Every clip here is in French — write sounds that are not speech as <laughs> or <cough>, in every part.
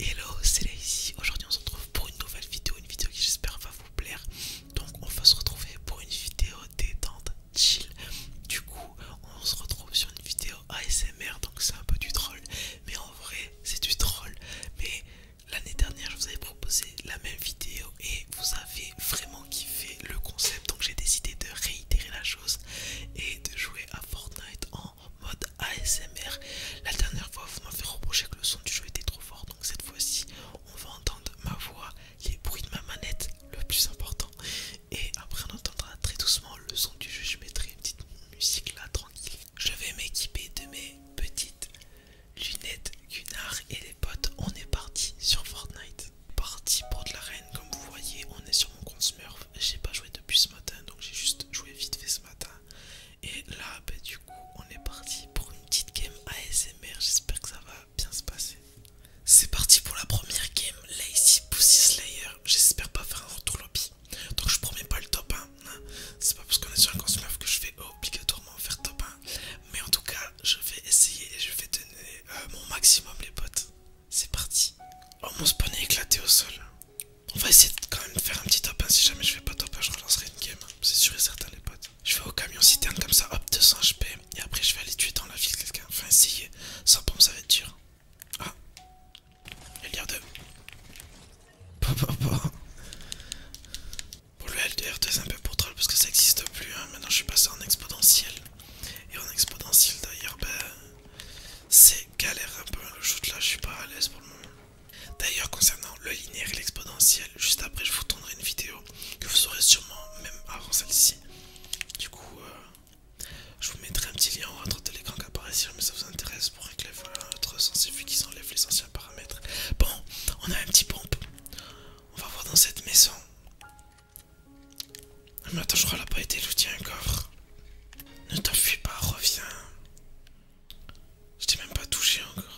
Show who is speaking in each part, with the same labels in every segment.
Speaker 1: Hello, c'est Lazy, Aujourd'hui, on se retrouve pour une nouvelle vidéo, une vidéo qui j'espère va vous plaire. Donc, on va se retrouver pour une vidéo détente, chill. Du coup, on se retrouve sur une vidéo ASMR, donc c'est un peu du troll. Mais en vrai, c'est du troll. Mais l'année dernière, je vous avais proposé la même vidéo et vous avez vraiment kiffé le concept. Donc, j'ai décidé de réitérer la chose et de jouer à Fortnite en mode ASMR. La dernière fois, vous m'avez reproché que le son du jeu était trop fort, donc cette fois-ci, on va entendre ma voix, les bruits de ma manette, le plus important. Et après, on entendra très doucement le son du jeu. Je mettrai une petite musique là, tranquille. Je vais m'équiper de mes petites lunettes Gunnar et les potes. On est parti sur Fortnite. Parti pour de la reine, comme vous voyez, on est sur mon Smurf. J'ai pas joué depuis ce matin, donc j'ai juste joué vite fait ce matin. Et là, bah, du coup, on est parti pour une petite game ASMR. J'espère que ça va bien se passer. C'est parti pour la première game, Lazy Pussy Slayer. J'espère pas faire un retour lobby. Donc je promets pas le top 1. Hein. C'est pas parce qu'on est sur un que je vais obligatoirement faire top 1. Mais en tout cas, je vais essayer et je vais donner euh, mon maximum les potes. C'est parti. Oh mon spawn est éclaté au sol. On va essayer de quand même faire un petit top. Si jamais je fais pas top, 1 je relancerai une game. Hein. C'est sûr et certain les potes. Je vais au camion citerne comme ça, hop, 200 HP. Et après je vais aller tuer dans la ville quelqu'un. Enfin essayer. Sans pompe ça va être dur. Ah. Il y a de... Pour le l 2 r c'est un peu pour troll parce que ça existe plus. Hein. Maintenant je suis passé en exponentiel. Et en exponentiel d'ailleurs, ben... C'est galère un peu le shoot là, je suis pas à l'aise pour le moment. D'ailleurs, concernant le linéaire et l'exponentiel, juste après, je vous tournerai une vidéo que vous aurez sûrement même avant celle-ci. Du coup, euh, je vous mettrai un petit lien en droite de l'écran qui apparaît si ça vous intéresse pour régler un autre sens qui s'enlève les anciens paramètres. Bon, on a un petit pompe. On va voir dans cette maison. Ah, mais attends, je crois qu'elle n'a pas été lootée encore. Ne t'enfuis pas, reviens. Je t'ai même pas touché encore.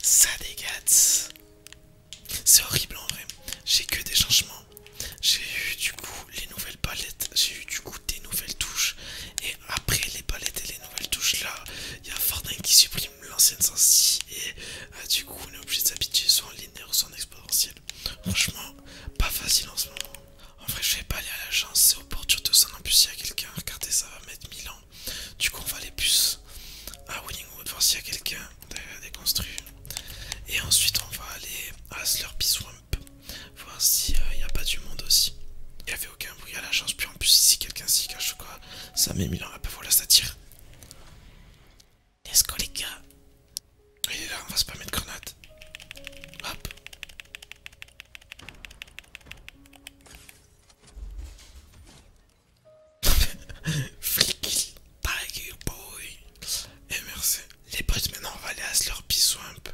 Speaker 1: Ça dégâte. C'est horrible en vrai. J'ai que des changements. J'ai eu du coup les nouvelles palettes, j'ai eu du coup des nouvelles touches. Et après les palettes et les nouvelles touches là, il y a Fortnite qui supprime l'ancienne sensi et euh, du coup on est obligé de s'habituer soit en linéaire ou soit en exponentiel. Franchement, pas facile en ce moment. En vrai je vais pas aller à l'agence, c'est au port du Toussaint en plus il y a quelqu'un, regardez ça va mettre 1000 ans. Du coup on va aller plus à Willingwood voir s'il y a quelqu'un déconstruit. Et ensuite on va aller à Slurpy Swamp, voir s'il n'y a pas du monde aussi aucun bruit à la chance, Puis en plus, si quelqu'un s'y cache ou quoi, ça met mille ans. Ah bah voilà, ça tire. Let's go, les gars. Il est là, on va se permettre grenade. Hop. <laughs> Flic, boy. Et eh, merci. Les potes, maintenant on va aller à leur un peu,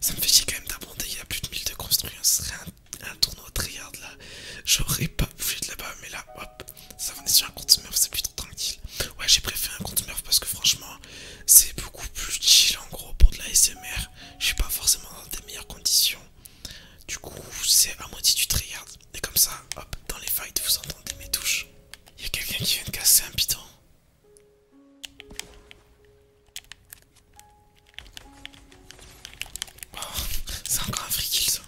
Speaker 1: Ça me fait chier quand même d'abonder, il y a plus de mille de construire serait un un tournoi tryhard là, j'aurais pas bougé de là-bas, mais là, hop, ça venait sur un compte smurf, c'est plutôt tranquille. Ouais, j'ai préféré un compte smurf parce que franchement, c'est beaucoup plus chill en gros pour de la SMR. Je suis pas forcément dans des meilleures conditions. Du coup, c'est à moitié du tryhard. Et comme ça, hop, dans les fights, vous entendez mes touches. Il y a quelqu'un qui vient de casser un piton. Oh, c'est encore un free kill ça.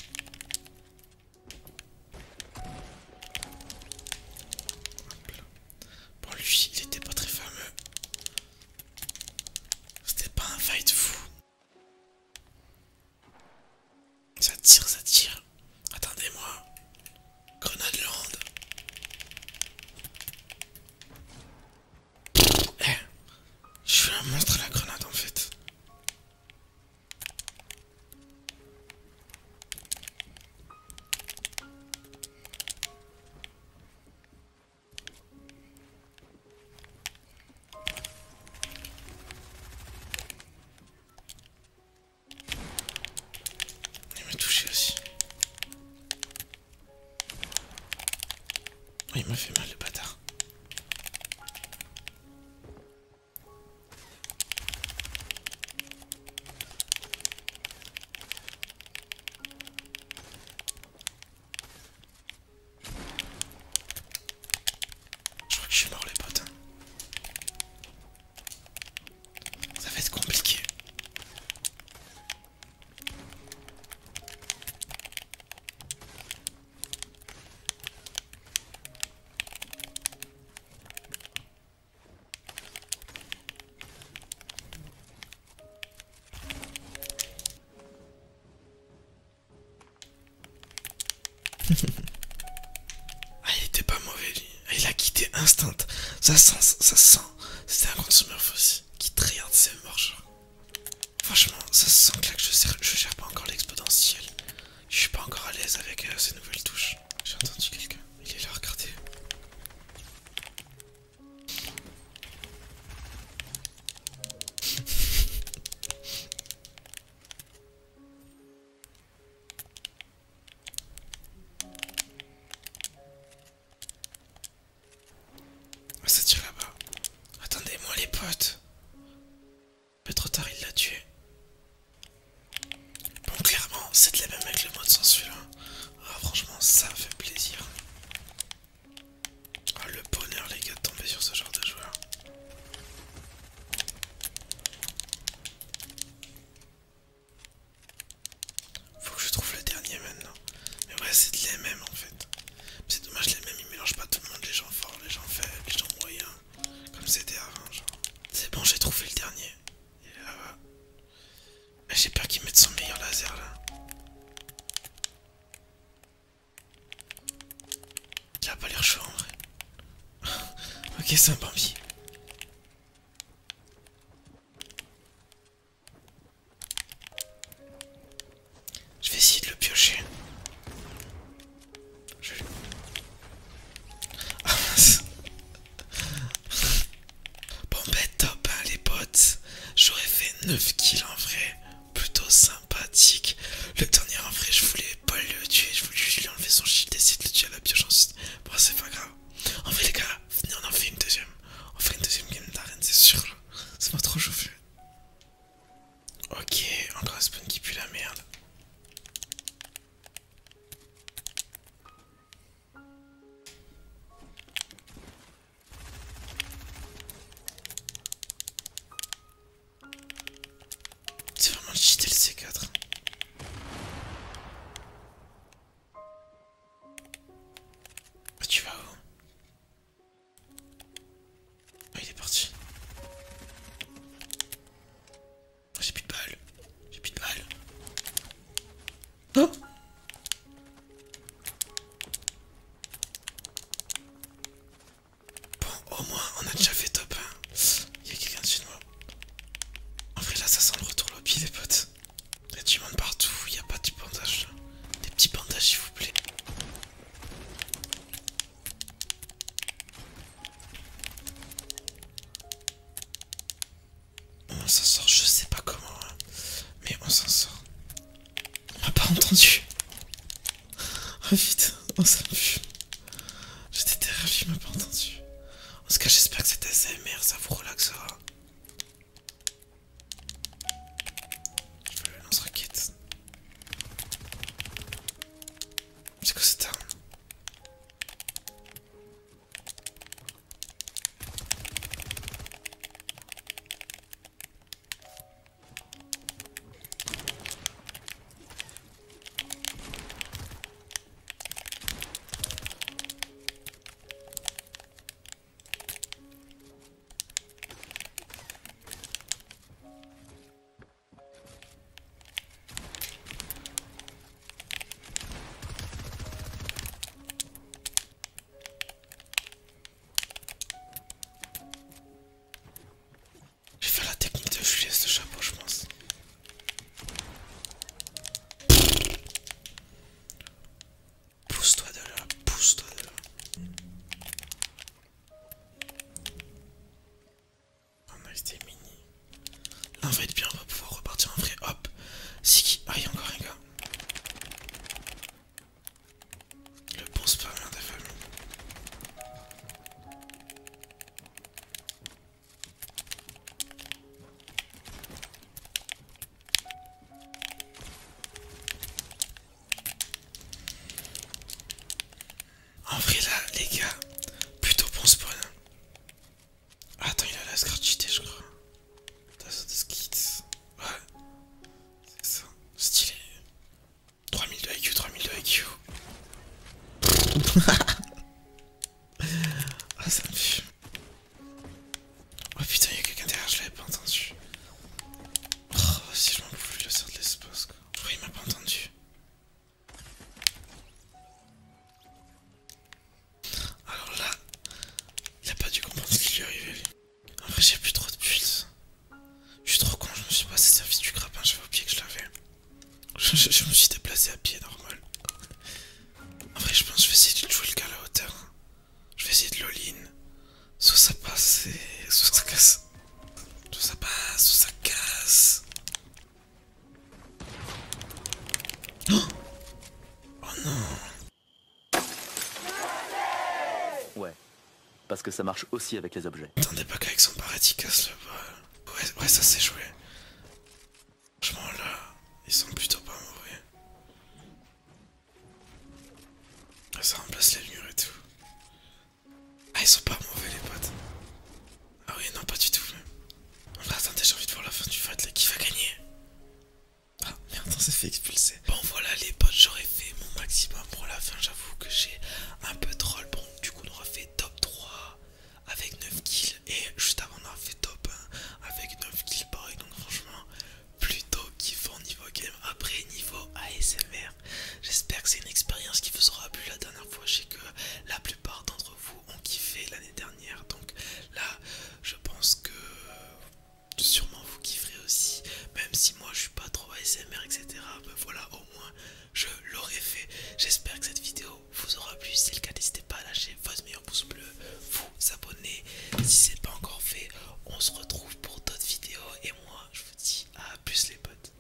Speaker 1: Bon lui il était pas très fameux. C'était pas un fight fou. Ça tire, ça tire. Attendez-moi. Grenade land. Eh, je suis un monstre la grenade en fait. Il m'a touché aussi. Oui, il m'a fait mal le bâtard. Je crois que je suis mort les potes. Hein. Ça va être compliqué ah, il était pas mauvais lui. Ah, il a quitté instinct Ça sent, ça sent. C'était un consumer aussi qui de ses marches Franchement, ça sent que, là je, gère pas encore l'exponentiel. Je suis pas encore à l'aise avec euh, ces nouvelles touches. J'ai entendu quelqu'un. Il est là, regardez. Ah, ça tire là-bas. Attendez-moi, les potes. Un peu trop tard, il l'a tué. Bon, clairement, c'est de la même avec le mode sans Ah, franchement, ça fait plaisir. Ah, le bonheur, les gars, de tomber sur ce genre de joueur. Faut que je trouve le dernier maintenant. Mais ouais, c'est de l'MM en fait. C'est dommage, les mêmes ils mélangent pas tout le monde, les gens forts, les gens faibles, les gens moyens. Comme c'était avant, genre. C'est bon, j'ai trouvé le dernier. Il là ah, J'ai peur qu'il mette son meilleur laser là. Il a pas l'air chaud en vrai. <laughs> ok, sympa un je vais essayer de le piocher. <laughs> Bon bah top hein, les potes. J'aurais fait 9 kills en vrai. Plutôt sympathique. Le dernier en vrai je voulais pas le tuer. Je voulais lui enlever son shield et essayer de le tuer à la pioche ensuite. Bon c'est pas grave. En vrai les gars, on en fait une deuxième. On fait une deuxième game d'arène c'est sûr. C'est pas trop chauffé. Ok, encore un spawn qui pue la merde. C'est vraiment cheaté le C4. tu vas où ah, il est parti. Ah, j'ai plus de balles. J'ai plus de balles. Oh Bon, au moins, on a déjà fait top 1. Il y a quelqu'un dessus de moi. En vrai, là, ça sent le retour lobby, les potes. Il du monde partout, il n'y a pas de bandage. Des petits bandages s'il vous plaît. On s'en sort, je sais pas comment, hein. mais on s'en sort. On m'a pas entendu. vite, <laughs> oh, on s'en vu. J'étais terrifié, il m'a pas entendu. En tout cas, j'espère que cet ASMR, ça vous relaxera. Je peux le lance-roquette. C'est que c'est un. Je fait la technique de Juliette ce chapeau je pense. Pousse-toi de là, pousse-toi de là. On a été mini. Là, bien, on va pouvoir repartir en vrai. Hop, qui Ah, il encore un gars. Le bon spammer hein, des en vrai là les gars, plutôt bon spawn. Attends il a la scratchité je crois. T'as des skits. Ouais. C'est ça. Stylé. 3000 de IQ, 3000 de IQ. <laughs> ah ça me fume. Oh putain, a quelqu'un derrière, je l'avais pas entendu. Oh, si je m'en pouvais le sort de l'espace, quoi. il m'a pas entendu Alors là, il a pas dû comprendre ce qui lui arrivait, arrivé En vrai, j'ai plus trop de pulse. Je suis trop con, je me suis pas servi du grappin, j'avais pied que je l'avais. <laughs> Je, me suis déplacé à pied normal. En vrai, je pense que je vais essayer de jouer le gars à la hauteur. Je vais essayer de l'all-in. Soit ça passe et... Soit ça casse. Soit ça passe, soit ça casse. Oh, oh, non Ouais, parce que ça marche aussi avec les objets. Attendez pas qu'avec son paradis il casse le bol. Ouais, ouais ça c'est joué. Franchement là, ils sont plutôt pas mauvais. Ça remplace les murs et tout. Ah, ils sont pas mauvais, les potes. Ah, oui, non, pas du tout. va, Attendez, j'ai envie de voir la fin du fight là. Qui va gagner Ah, merde, on s'est fait expulser. Bon, voilà, les potes, j'aurais fait mon maximum pour la fin. J'avoue que j'ai un peu troll. Bon, du coup, on aura fait top 3 avec 9 kills. Et juste avant, on aura fait top 1 avec 9 kills pareil. Donc, franchement, plutôt kiffant niveau game, après niveau ASMR. J'espère que c'est une expérience qui vous aura plu la dernière fois. Je sais que la plupart d'entre vous ont kiffé l'année dernière. Donc là, je pense que sûrement vous kifferez aussi. Même si moi je suis pas trop ASMR, etc. Mais ben voilà, au moins je l'aurais fait. J'espère que cette vidéo vous aura plu. Si c'est le cas, n'hésitez pas à lâcher votre meilleur pouce bleu s'abonner si c'est pas encore fait. On se retrouve pour d'autres vidéos et moi je vous dis à plus les potes.